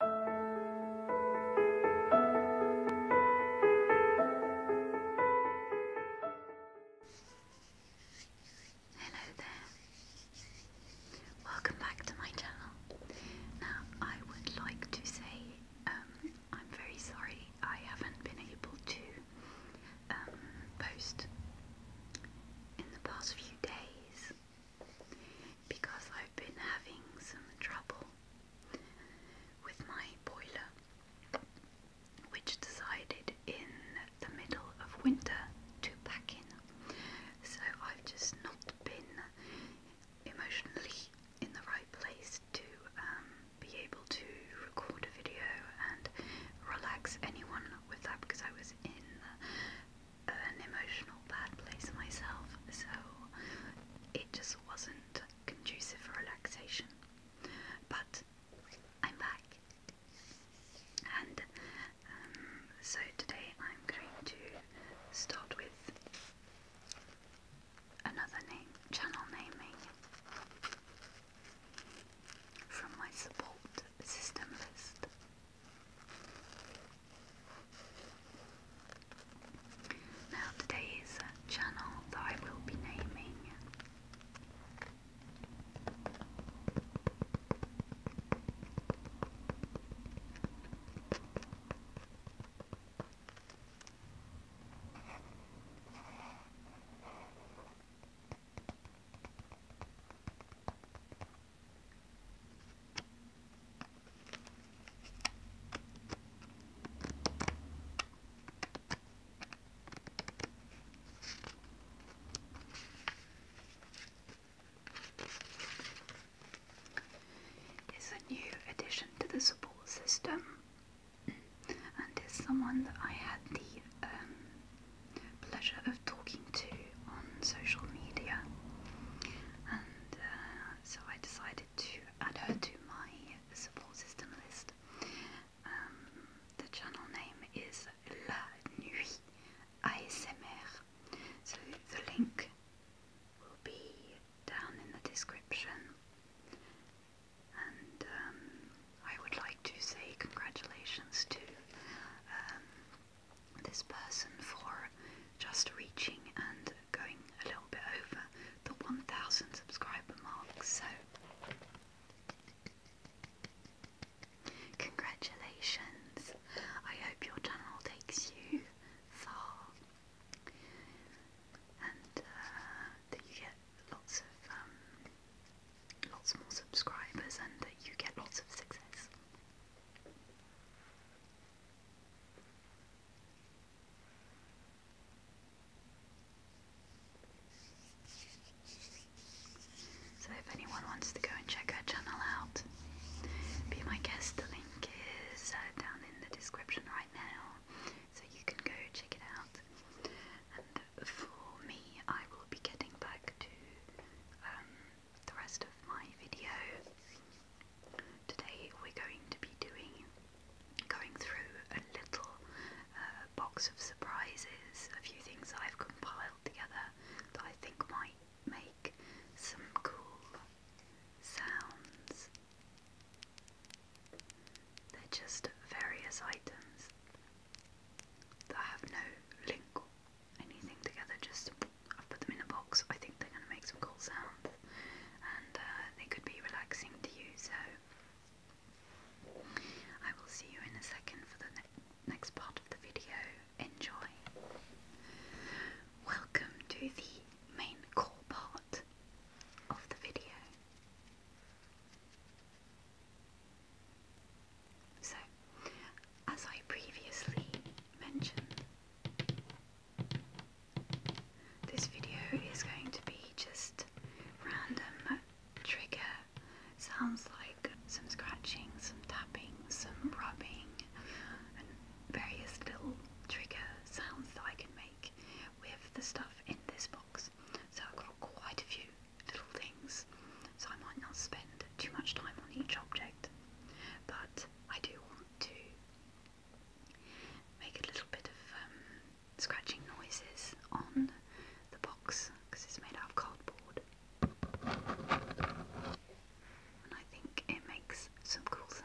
Hello there. Welcome back to my channel. Now, I would like to say um, I'm very sorry I haven't been able to um, post in the past few days because I've been having some trouble with my boiler, which decided in the middle of winter to pack in. So I've just not been emotionally in the right place to um, be able to record a video and relax anyone with that because I was in an emotional bad place myself, so it just wasn't conducive for relaxation. But I'm back, and um, so today I'm going to start with another name, channel naming from my support system list. Now a uh, channel that I will be naming is a new addition to the support system and is someone that I had the um, pleasure of talking to on social media, and uh, so I decided to add her to my support system list. Um, the channel name is La Nuit ASMR, so the link will be down in the description. And um, I would like to say congratulations to um, this person for just reaching and going a little bit over the 1000 subscriber mark. So, congratulations! I hope your channel takes you far and uh, that you get lots of um, lots more subscribers and that you get lots of success. So if anyone wants to go and check our channel out, be my guest. The link is uh, down in the description right now, so you can go check it out. And for me, I will be getting back to um, the rest of my video. Today we're going to be doing going through a little uh, box of surprises, a few things I've compiled together that I think might make some cool sounds. They're just various items that have no link anything together, just I've put them in a box. I think they're going to make some cool sounds and uh, they could be relaxing to you. So I will see you in a second for the next part of the video. Enjoy. Welcome to the main core part of the video. So, as I previously mentioned. This video is going to be just random trigger sounds like some scratching, some tapping, some rubbing, and various little trigger sounds that I can make with the stuff in this box. So I've got quite a few little things, so I might not spend too much time on each object, but I do want to make a little bit of um, scratching noises on the box because it's made out of cardboard. And I think it makes some cool sounds.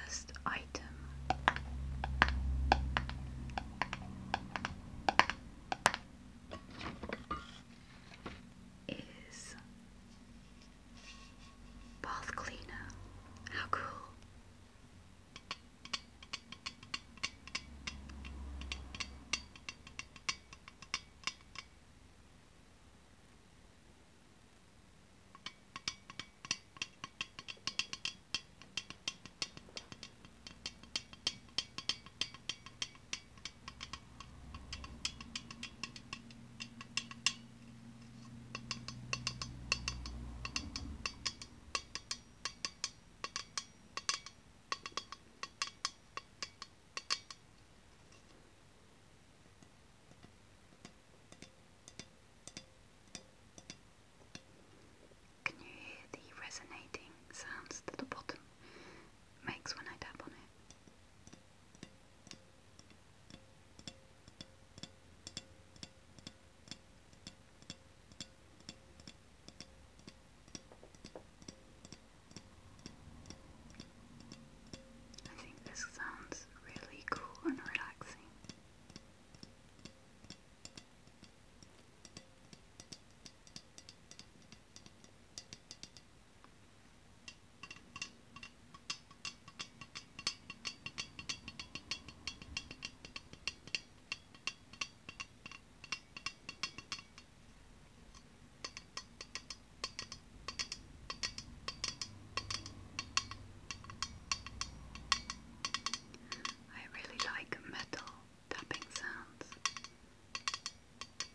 First item is bath cleaner. How cool! Can you hear the resonating sounds that the bottom makes when I tap on it? I think this sounds really cool and relaxing. I really like metal tapping sounds.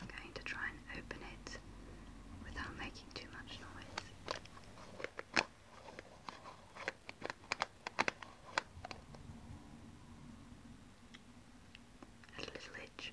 I'm going to try and open it without making too much noise. Had a little itch.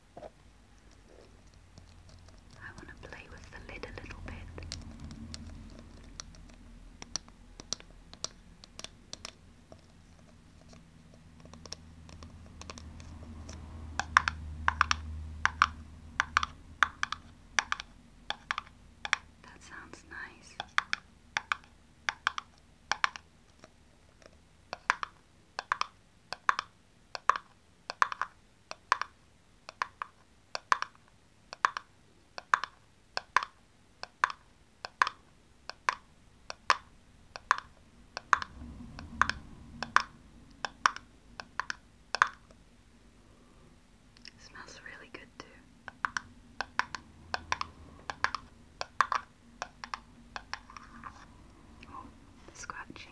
I want to play with the lid a little bit. That sounds nice. It smells really good too. Oh, the scratching.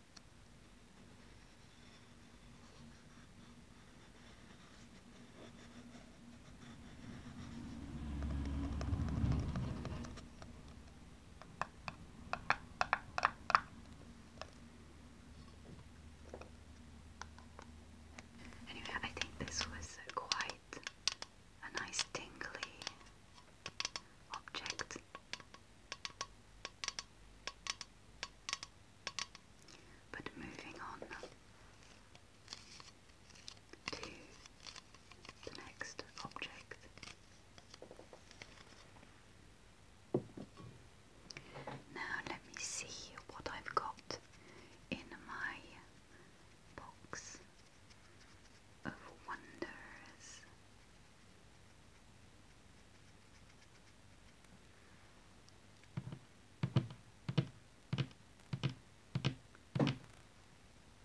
Anyway, I think this was quite a nice tingly object. But moving on to the next object. Now let me see what I've got in my box of wonders.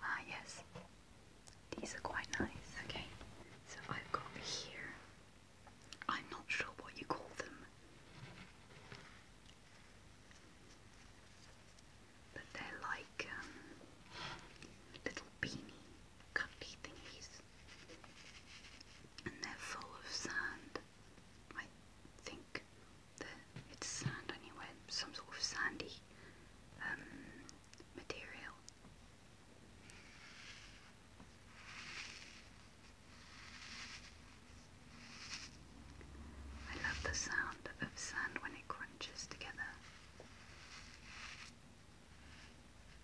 Ah, yes. These are quite nice. Okay, so I've got here. I'm not sure what you call them, but they're like um, little beanie cuppy thingies and they're full of sand. I think it's sand anyway, some sort of sandy um, material. I love the sound of sand when it crunches together.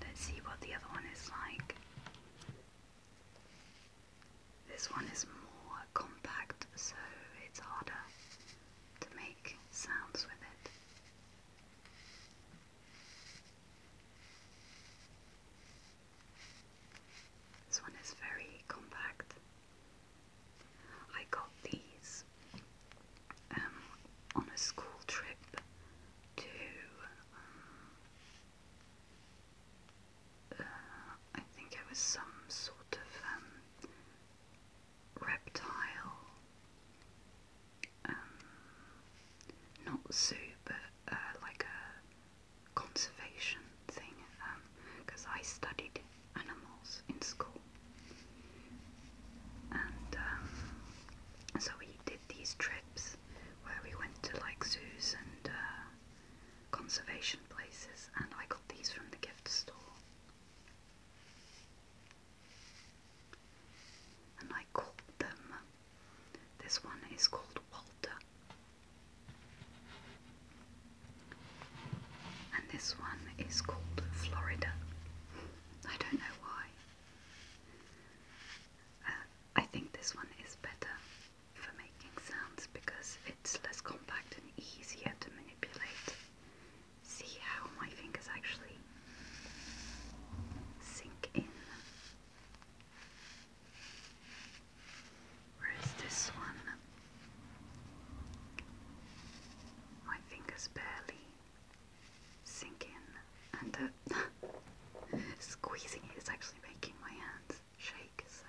Let's see what the other one is like. This one is more compact, so it's harder to make sounds with it. This one is very compact. I got these um, on a school trip to um, uh, I think it was some sort of um, reptile, um, not zoo, but uh, like a conservation thing, because um, I studied animals in school, and um, so we did these trips where we went to like zoos and uh, conservation places, and I got these from the gift store. And I called them. This one is called Walter, and this one is called Florida. I don't know why. I think this one is better for making sounds because it's less compact and easier to manipulate. See how my fingers actually sink in. Whereas this one, my fingers barely sink and uh, squeezing it is actually making my hands shake, so.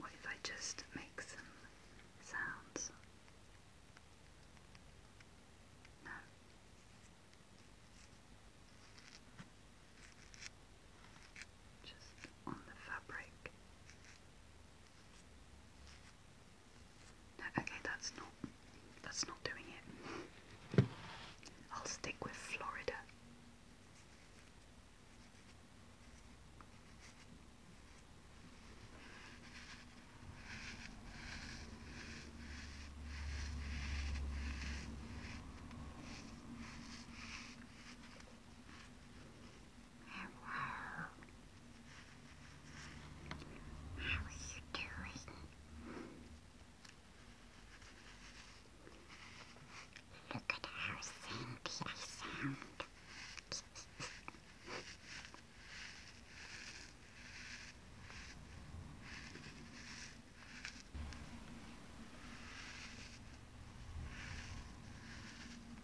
What if I just make some sounds? No just on the fabric. okay, that's not that's not doing it. I'll stick with Florida. Hello. How are you doing? Look at how sandy I sound.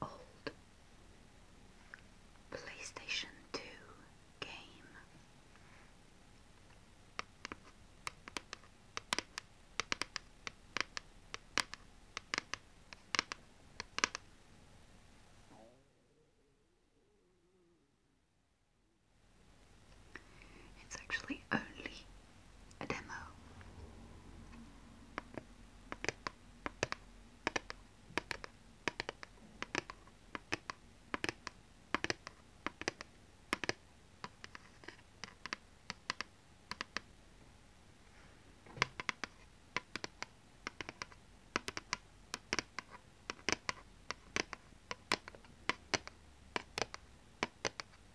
A old PlayStation 2 game. It's actually only a demo.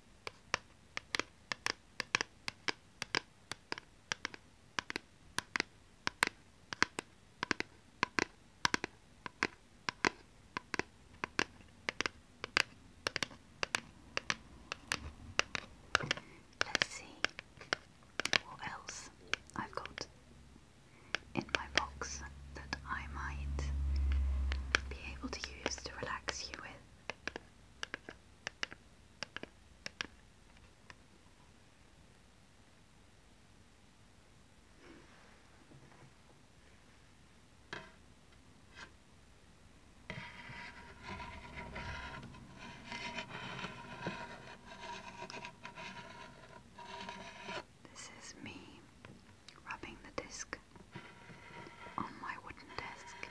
Let's see what else I've got in my box that I might be able to use to relax you with. This is me rubbing the disc book on my wooden desk.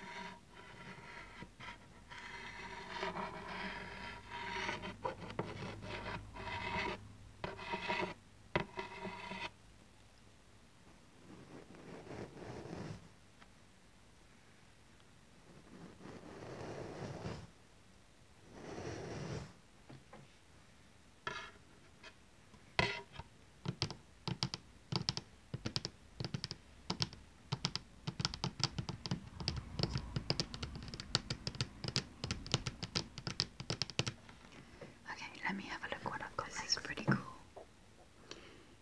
Okay, let me have a look what I've got. This is pretty cool.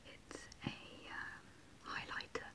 It's a um, highlighter.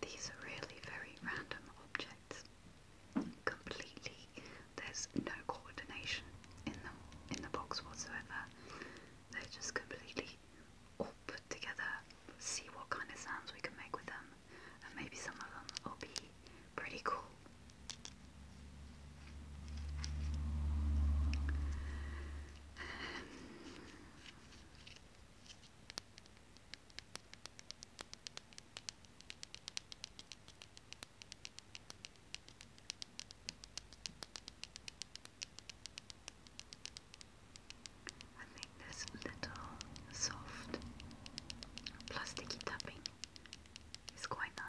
These are really very random objects, completely there's no coordination in them in the box whatsoever. They're just completely all put together. See what kind of sounds we can make with them, and maybe some of them will be pretty cool. I think this little soft plasticky tapping is quite nice.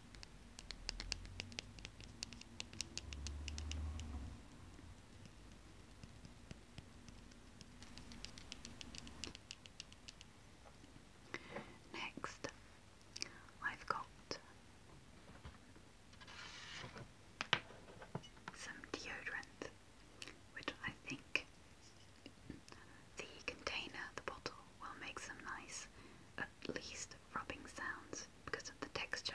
Next, I've got some deodorant, which I think the container, the bottle, will make some nice, at least rubbing sounds because of the texture.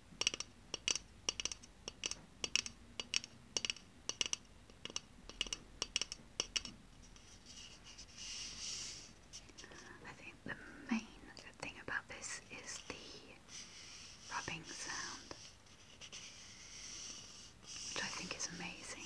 I think the main good thing about this is the rubbing sound, which I think is amazing.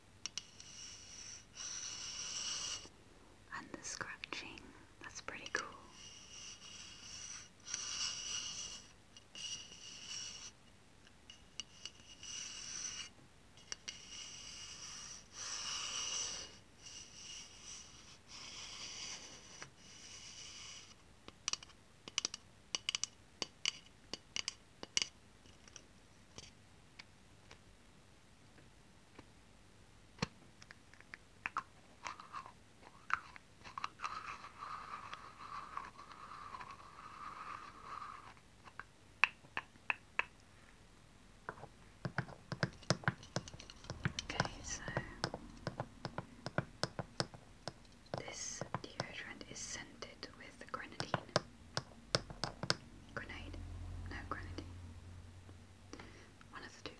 And the scratching, that's pretty cool. Okay, so this deodorant is scented with grenadine. Grenade? No, grenadine. One of the two.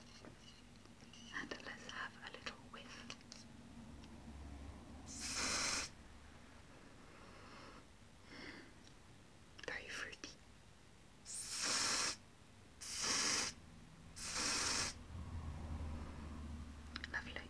And let's have a little whiff. Very fruity. Lovely.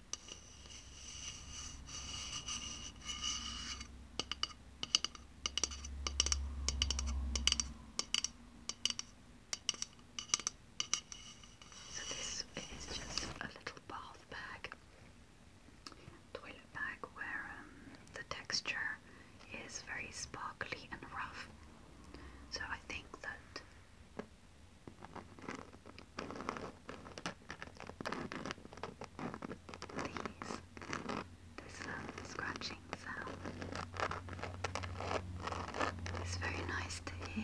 So this is just a little bath bag, toilet bag where um, the texture is very sparkly and rough. So I think that these, this um, scratching sound is very nice to hear.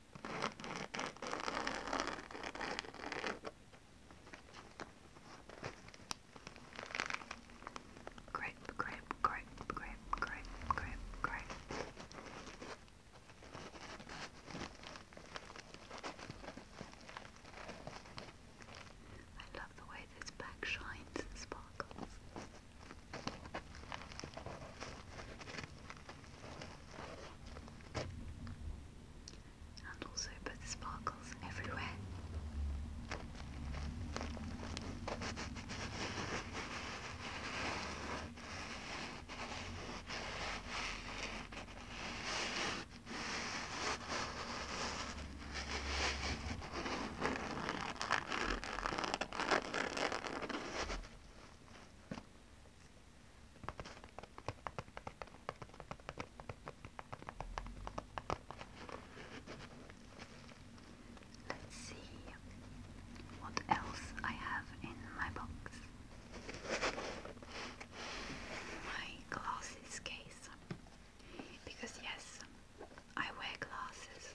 Grape, grape, grape, grape, grape, grape, grape. I love the way this bag shines and sparkles. And also put the sparkles everywhere. Let's see what else I have in my box. My glasses case. Because yes, I wear glasses.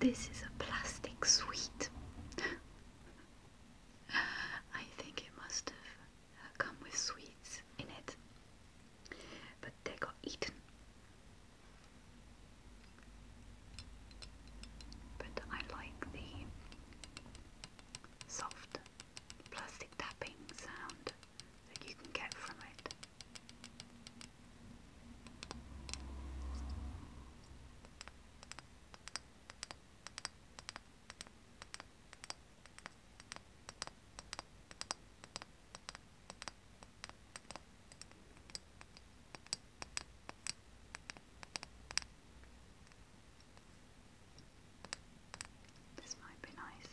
This is a plastic sweet. I think it must have come with sweets in it, but they got eaten. But I like the soft plastic tapping sound that you This might be nice.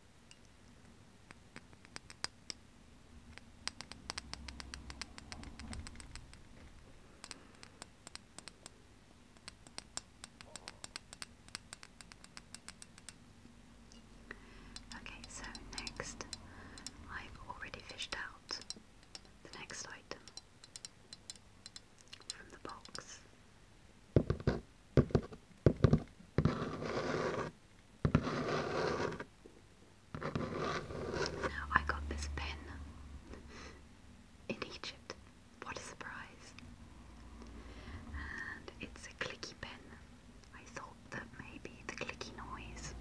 Okay, so next I've already fished out the next item from the box. I got this pen in Egypt. What a surprise! And it's a clicky pen. I thought that maybe the clicky noise.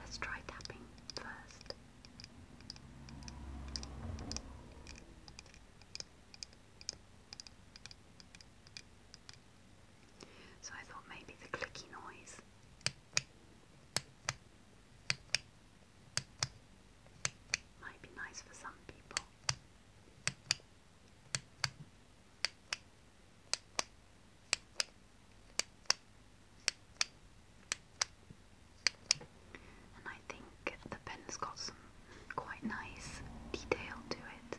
Let's try tapping first. So I thought maybe the clicky noise. Might be nice for some people. And I think the pen's got some quite nice detail to it.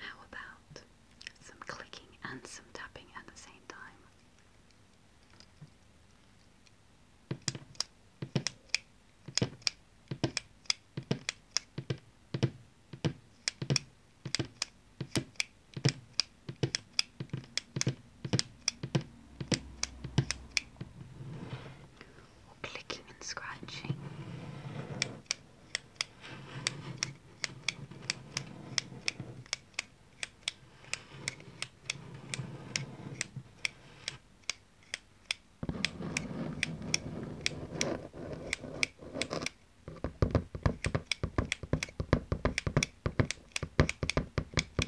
How about some clicking and some tapping at the same time? clicking and scratching.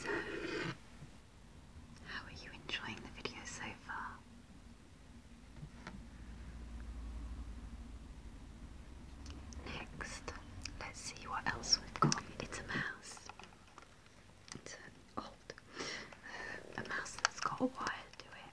So, how are you enjoying the video so far? Next, let's see what else we've got. It's a mouse. It's an old, uh, a mouse that's got a wire to it.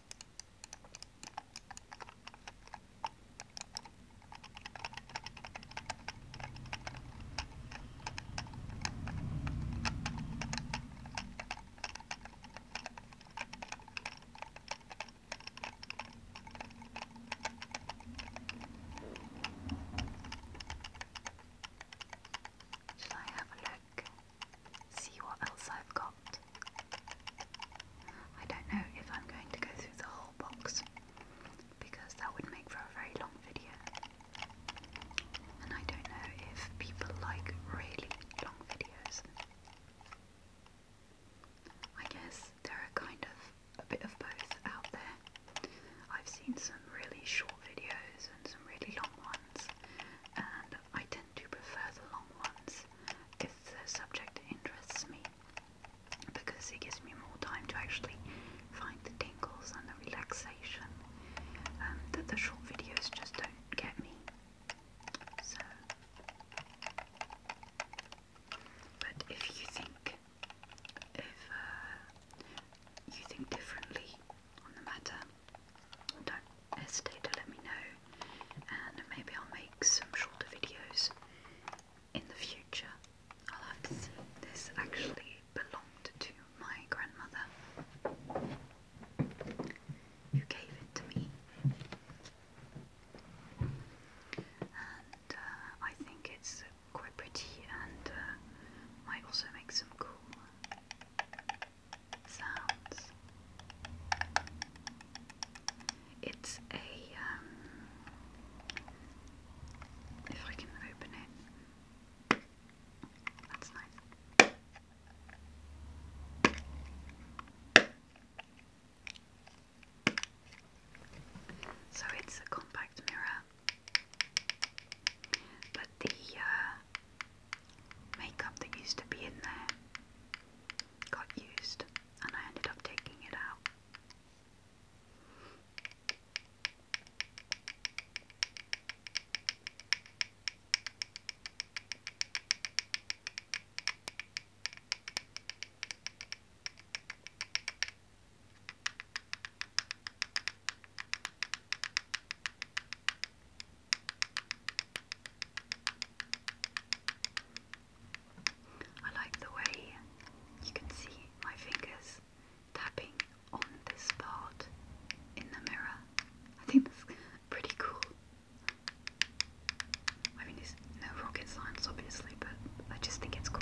Shall I have a look? See what else I've got. I don't know if I'm going to go through the whole box because that would make for a very long video. And I don't know if people like really long videos. I guess there are kind of a bit of both out there. I've seen some really short videos and some really long ones, and I tend to prefer the long ones the subject interests me because it gives me more time to actually find the tingles and the relaxation um, that the short videos just don't get me. So, but if you think, if uh, you think differently on the matter, don't hesitate to let me know and maybe I'll make some shorter videos in the future. I'll have to see. This actually belonged to my grandmother, who gave it to me, and uh, I think it's quite pretty, and uh, might also make some cool sounds. It's a, um, if I can open it, So it's a compact mirror, but the uh, makeup that used to be in there got used and I ended up taking it out. I like the way you can see my fingers tapping on this part in the mirror. I think that's pretty cool. I mean, it's no rocket science, obviously, but I just think it's cool.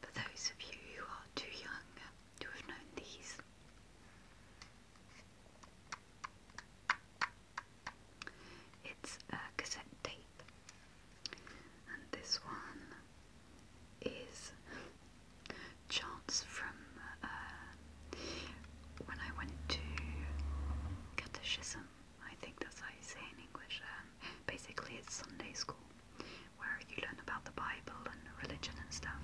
for those of you who are too young to have known these. It's a cassette tape, and this one is chance from uh, when I went to catechism. I think that's how you say in English. Uh, basically it's Sunday school where you learn about the Bible and religion and stuff.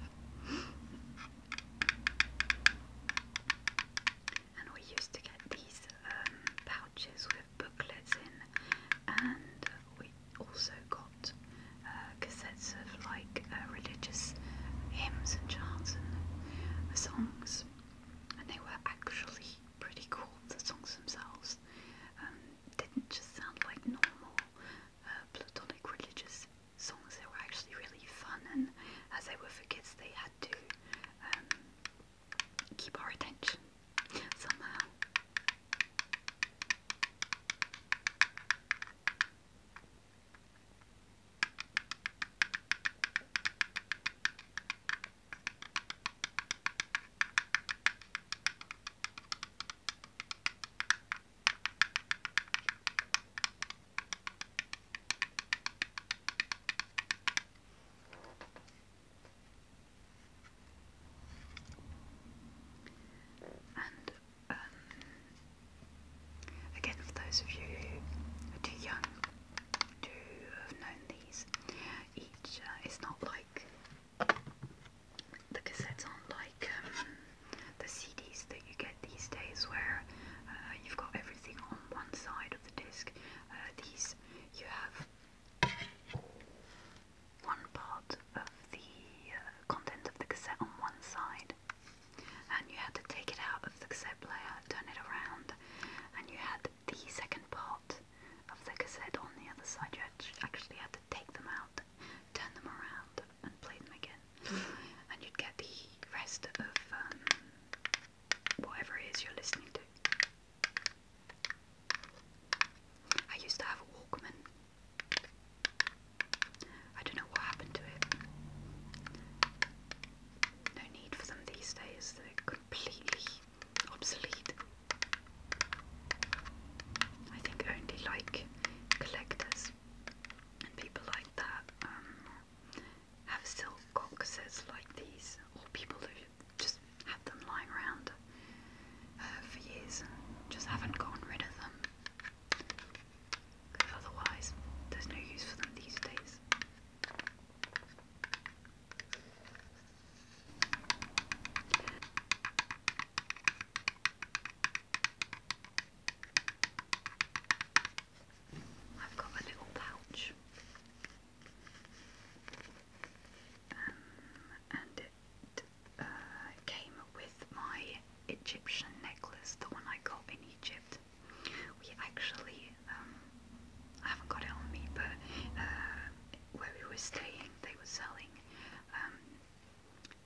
And we used to get these um, pouches with booklets in, and we also got uh, cassettes of like uh, religious hymns and chants and songs, and they were actually pretty cool. The songs themselves, um, didn't just sound like normal uh, platonic religious songs. They were actually really fun, and as they were for kids, they had to um, keep our attention somehow. And um, again, for those of you who are too young to have known these, each uh, not like the cassettes aren't like um, the CDs that you get these days, where uh, you've got everything on one side of the disc. Uh, these you have one part of the uh, content of the cassette on one side, and you had to take it out of the cassette player, turn it around, and you had the second part of the cassette on the other side. You actually had to take them out, turn them around, and play them again. and you'd get the rest of um, whatever it is you're listening to. I used to have a Walkman. I don't know what happened to it. No need for them these days, completely obsolete. I think only like collectors and people like that um, have still boxes like these, or people who just have them lying around uh, for years, just haven't gotten rid of them. Because otherwise, there's no use for them these days. I've got a little pouch, um, and it uh, came with my Egyptian necklace, the one I got in Egypt. We actually, um, I haven't got it on me, but uh, where we were staying, they were selling um,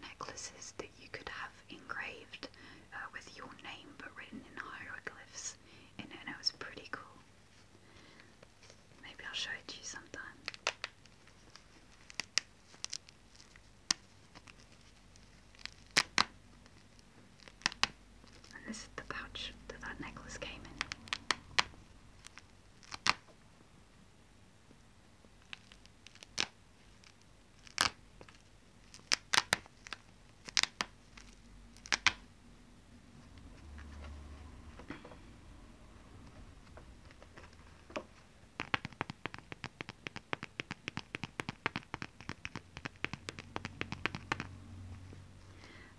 necklaces that you could have engraved uh, with your name but written in hieroglyphs and it was pretty cool. Maybe I'll show it to you sometime. And this is the pouch that that necklace came in.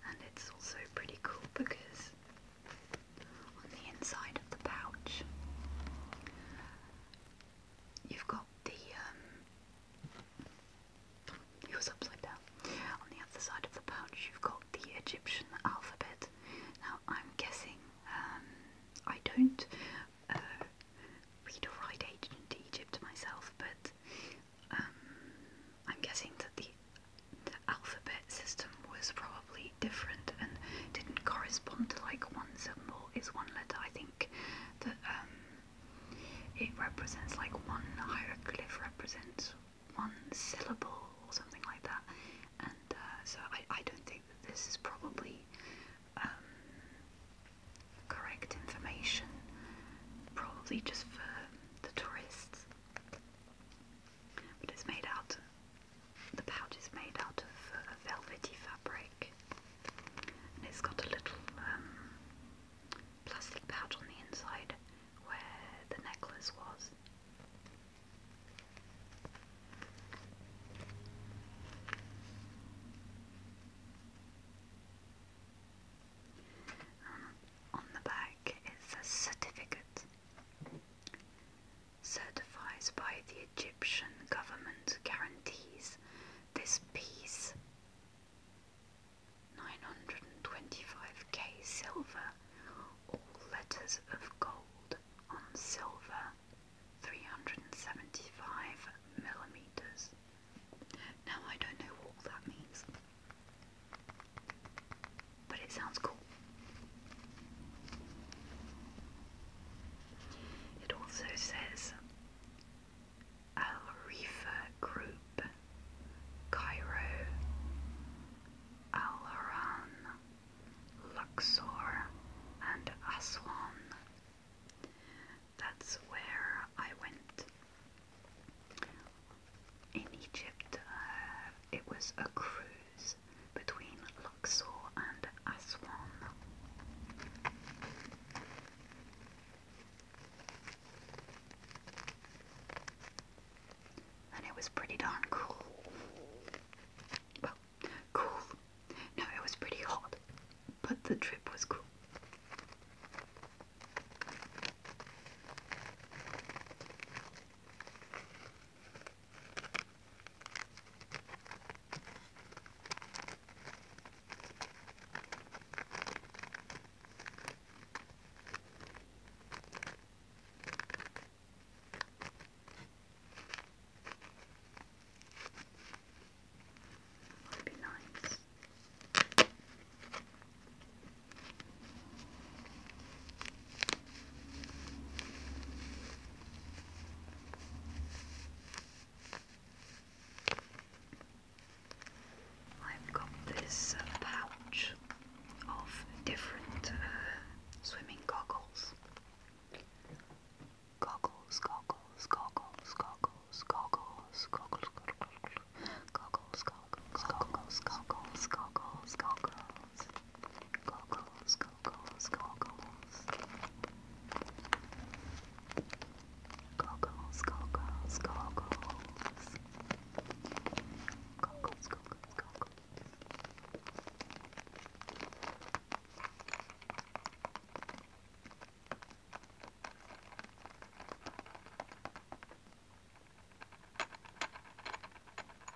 And it's also pretty cool because on the inside of the pouch. You've got the um, was upside down. On the other side of the pouch, you've got the Egyptian alphabet. Now, I'm guessing um, I don't uh, read or write ancient Egypt myself, but um, I'm guessing that the alphabet system was probably different and didn't correspond to like one symbol is one letter. I think that um, it represents like one hieroglyph represents one syllable or something like that. And uh, so I, I don't think that this is probably um, correct information, probably just for the tourists. But it's made out the pouch is made out of uh, velvety fabric and it's got a little um, plastic pouch on the inside where the necklace was. Um, on the back is a certificate certifies by the Egyptian government guarantees this piece. 925k silver, all letters of gold on silver, 375 millimeters. Now I don't know what that means but it sounds cool. It also says Al Rifa Group, Cairo, Al Haran, Luxor, and Aswan. That's where I went. In Egypt, uh, it was a cruise between Luxor and Aswan. And it was pretty darn cool. cool. No, it was pretty hot, but the trip was cool. Would be nice. I've got this uh, pouch of different uh, swimming goggles. Goggles, goggles, goggles, goggles, goggles, goggles, goggles, goggles, goggles, goggles, goggles, goggles, goggles, goggles goggles. Goggles, goggles, goggles. Goggles, goggles, goggles. Goggles, goggles, goggles. Goggles,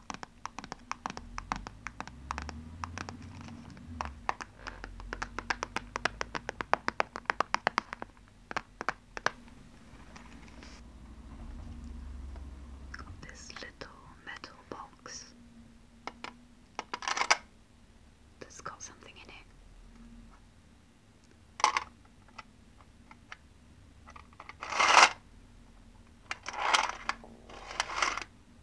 Got this little metal box that's got something in it.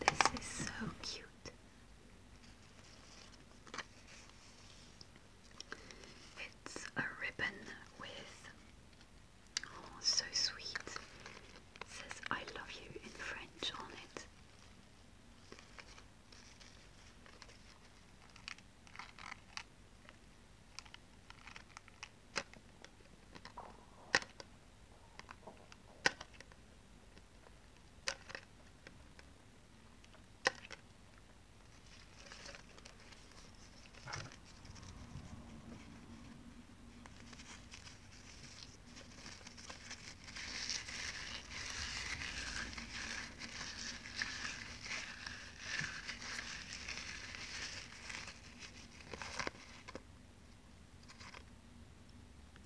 This is so cute. It's a ribbon with, oh, so sweet. says I love you in French on it.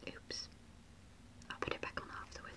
Oops. I'll put it back on afterwards.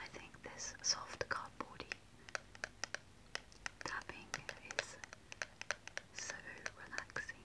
I think this soft cardboardy tapping is so relaxing.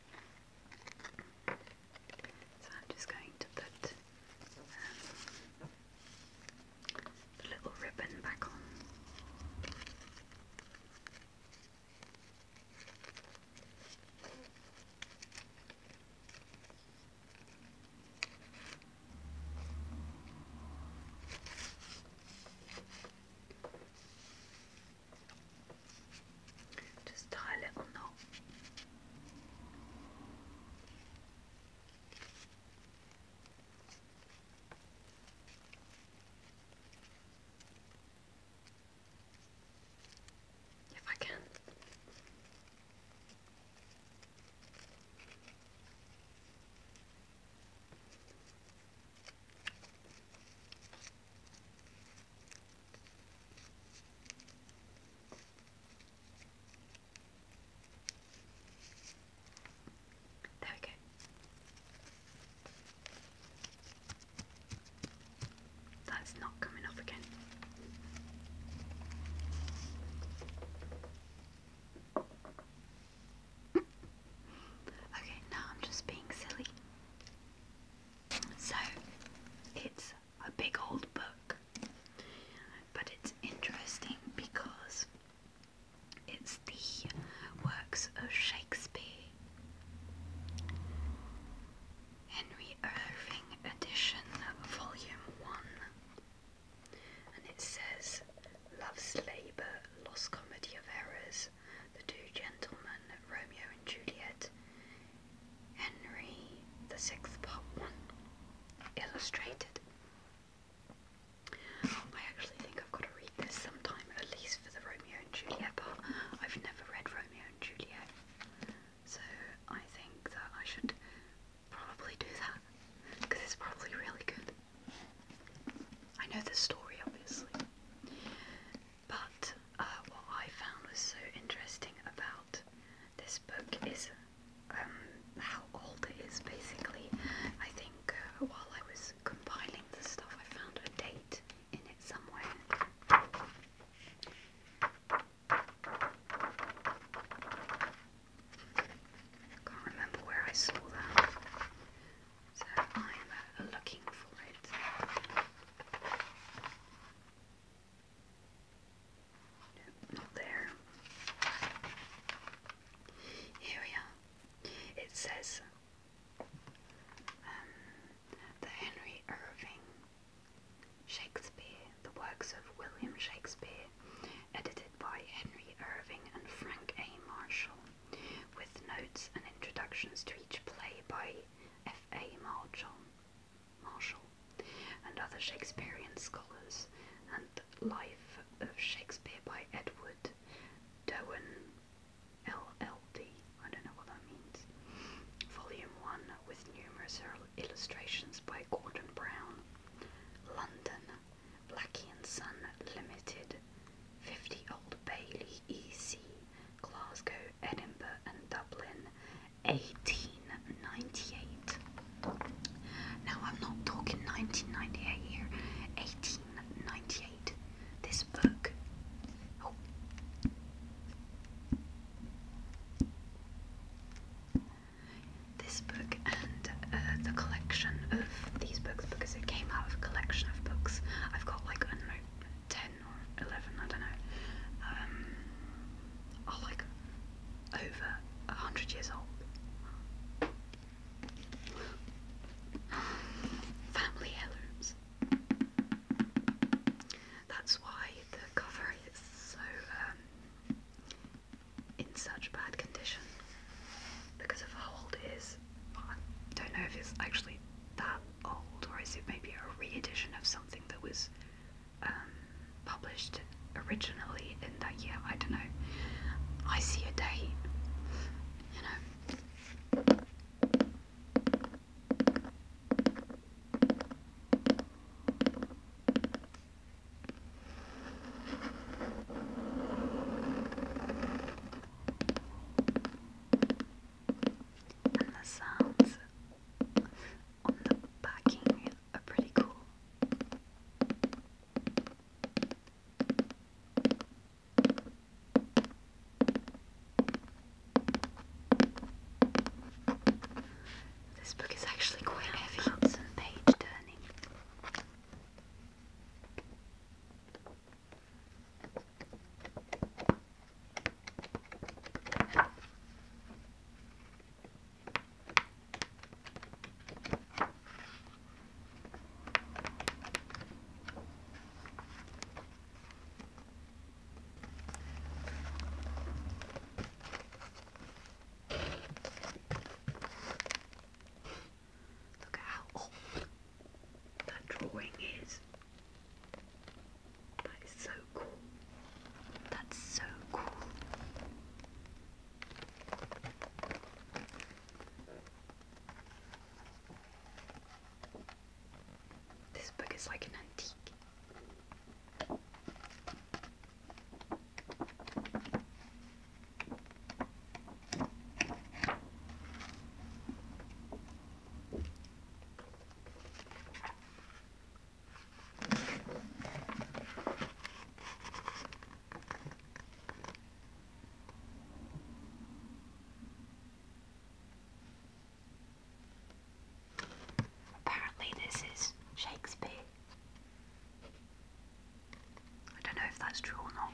So I'm just going to put um, the little ribbon back on. Just tie a little knot. If I can. There we go. That's not coming off again. Okay, now I'm just being silly. So it's a big old book, but it's interesting because it's the works of Shakespeare, Henry Irving edition, volume 1, and it says Love's Labour, Lost Comedy of Errors, the Two Gentlemen, Romeo and Juliet, Henry the Sixth Part One, illustrated. I actually think I've got to read this sometime, at least for the Romeo and Juliet part. I've never read Romeo and Juliet, so I think that I should probably do that because it's probably really good. I know the story, obviously. But uh, what I found was so interesting about this book is um, how old it is basically. I think uh, while I was compiling the stuff, I found a date in it somewhere. can't remember where I saw that so I'm looking for it. not there. Here we are. It says um, the Henry Irving Shakespeare, the works of William Shakespeare, edited by Henry Irving and Frank A. Marshall, with notes and introductions to each play by F. A. Marshall, Marshall and other Shakespearean scholars, and Life of Shakespeare by Edward Dowen, LLD, don't know what that means, Volume 1, with numerous illustrations by Gordon Brown, London, Blackie and Son Limited, 50 Old Bailey, EC, Glasgow, Edinburgh, and Dublin, 1898. Now, I'm not talking 1998 here, 1898. This book. Oh. This book and uh, the collection of these books because it came out of a collection of books. I've got like, I 10 11, I don't know, um, like over 100 years old. Family heirlooms. That's why the cover is so um, in such bad condition because of how old it is. I don't know if it's actually that old, or is it maybe a re-edition of something that was um, published originally in that year? I don't know. I see a date, you know and the sounds on the backing are pretty cool. This book is actually quite heavy. It's some page turning. Look at how old that drawing is. That is so cool. That's so cool. This book is like an antique. Apparently, this is Shakespeare. I don't know if that's true or not.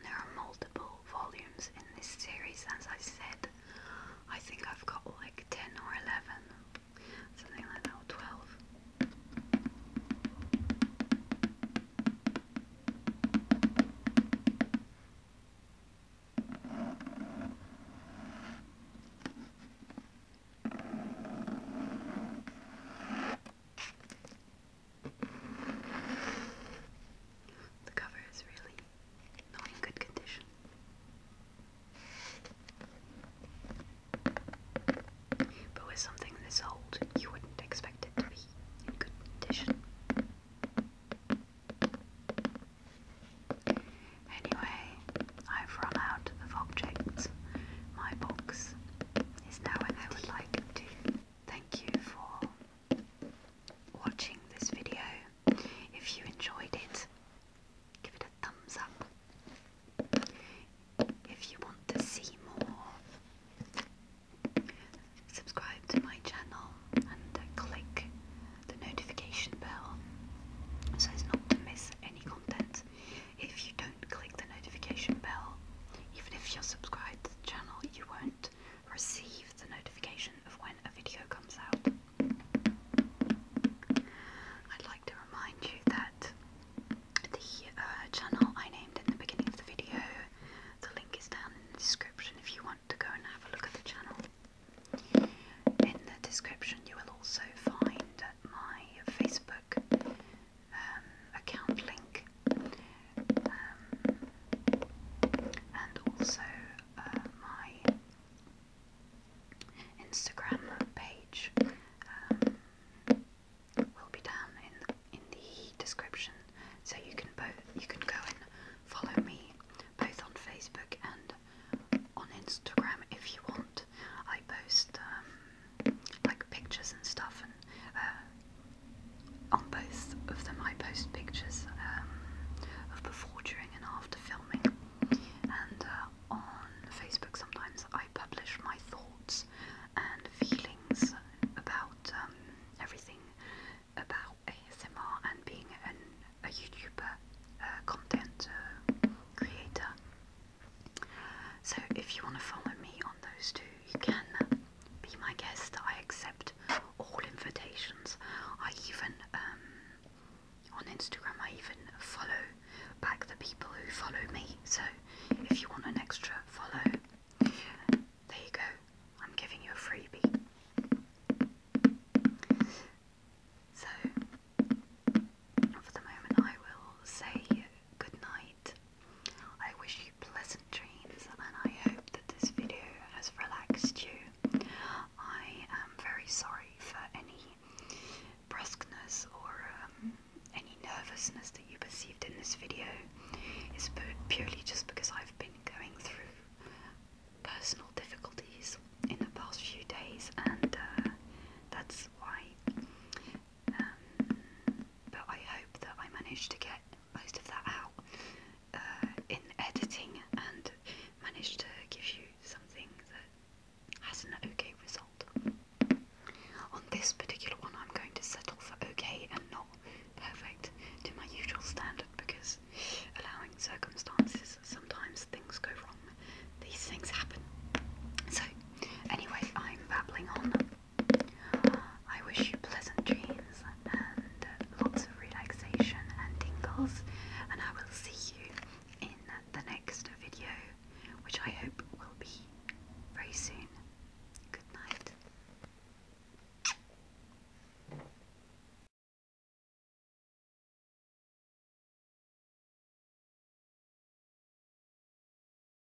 There are multiple volumes in this series, as I said. I think I've got like 10 or 11, something like that, or 12. The cover is really in good condition. But with something this old, you wouldn't expect it to be in good condition. Anyway, I've run out of objects. My box now, I would like to thank you for watching this video. If you enjoyed it, give it a thumbs up. If you want to see more, subscribe to my channel and click the notification bell so as not to miss any content. If you don't click the notification bell, even if you're subscribed to the channel, you won't receive the notification of when a video comes out. I'd like to remind you that the uh, channel I named in the beginning of the video, the link is down in the description if you want to go and have a look at the channel. In the description, you will also find my Facebook um, account link um, and also uh, my Instagram page um, will be down in in the description, so you can both you can go and follow me both on Facebook and on Instagram if you want. I post like pictures and stuff, and uh, on both of them I post pictures um, of before, during, and after filming. And uh, on Facebook, sometimes I publish my thoughts and feelings about um, everything about ASMR and being a YouTuber, uh, content creator. So if you want to follow me on those two, you can be my guest. I accept all invitations. I even um, on Instagram I even follow back the people who follow me. So if you want an extra follow, there you go. I'm giving you a freebie. So for the moment I will say good night I wish you pleasant dreams and I hope that this video has relaxed you. I am very sorry for any brusqueness or um, any nervousness that you perceived in this video. It's purely just because I've been going through personal difficulties in the past few days and uh, that's why um, but I hope that I managed to get most of that out uh, in editing and managed to give you something that has an okay result. On this particular one, I'm going to settle for okay and not perfect to my usual standard because allowing circumstances, sometimes things go wrong. These things happen. So, anyway, I'm babbling on. I wish you pleasant dreams and uh, lots of relaxation and tingles, and I will see you in the next video, which I hope will be very soon. Good night.